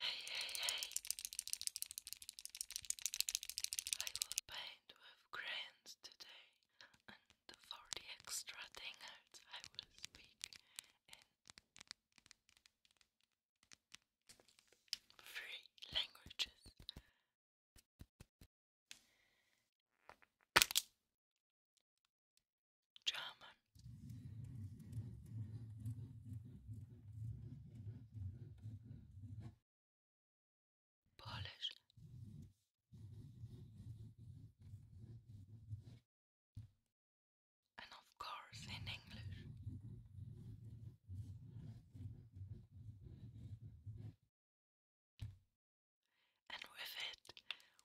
Hey, hey, hey! I will paint with crayons today, and for the extra dingers, I will speak in three languages. German, Polish. And of course, in English. And with it,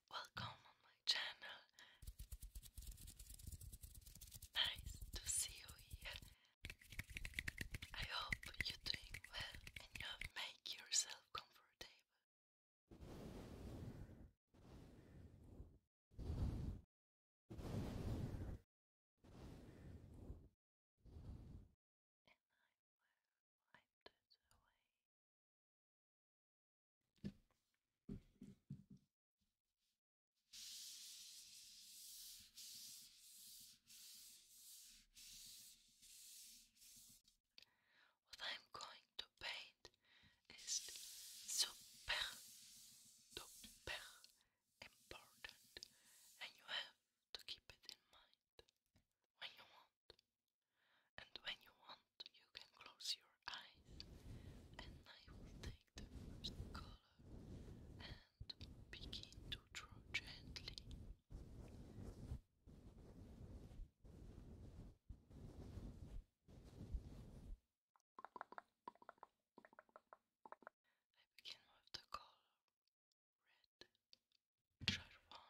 welcome on my channel. Nice to see you here. I hope you're doing well and you yourself comfortable. What I'm going to paint is super, super important, and you have to keep it in mind when you want. And when you want, you can close your eyes and I will take the first color and begin to draw gently. I begin with the color red, czerwony, rot,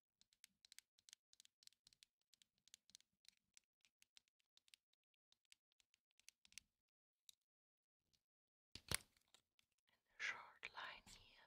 And a short line here.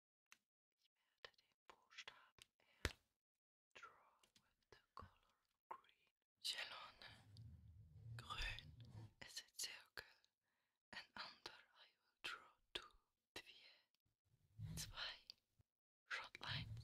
werde den draw with the color green. Jelone, a circle, and under I will draw two, lines.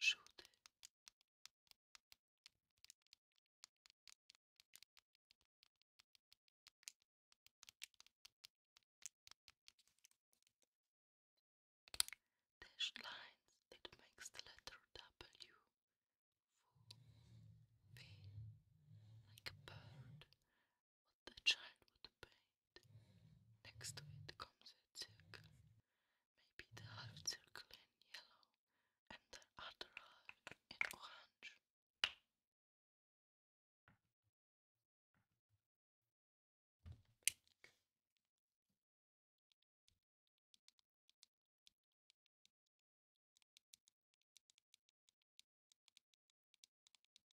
żółty. Dashed lines that makes the letter W like a bird. What the child would pay Next to it comes a circle, maybe the half circle in yellow and the other half in orange.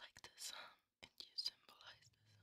Like the sun, and you symbolize the sun.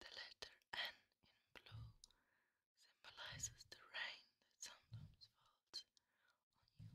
The letter N in blue symbolizes the rain that sometimes falls on you.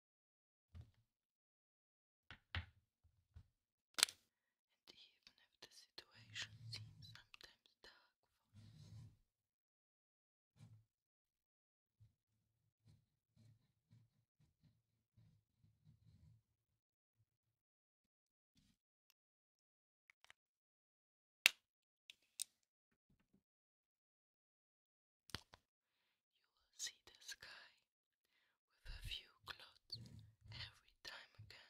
And even if the situation seems sometimes dark you will see the sky with a few clouds every time again.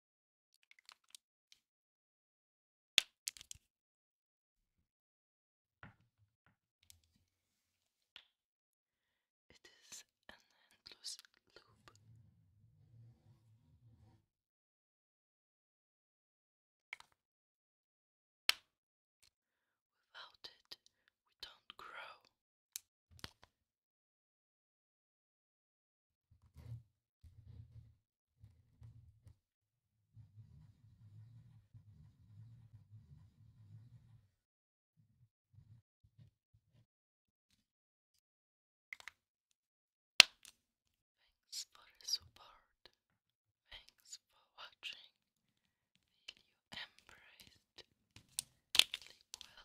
It is an endless loop. Without it, we don't grow. Thanks for the support. Thanks for watching. Feel embraced. Sleep well.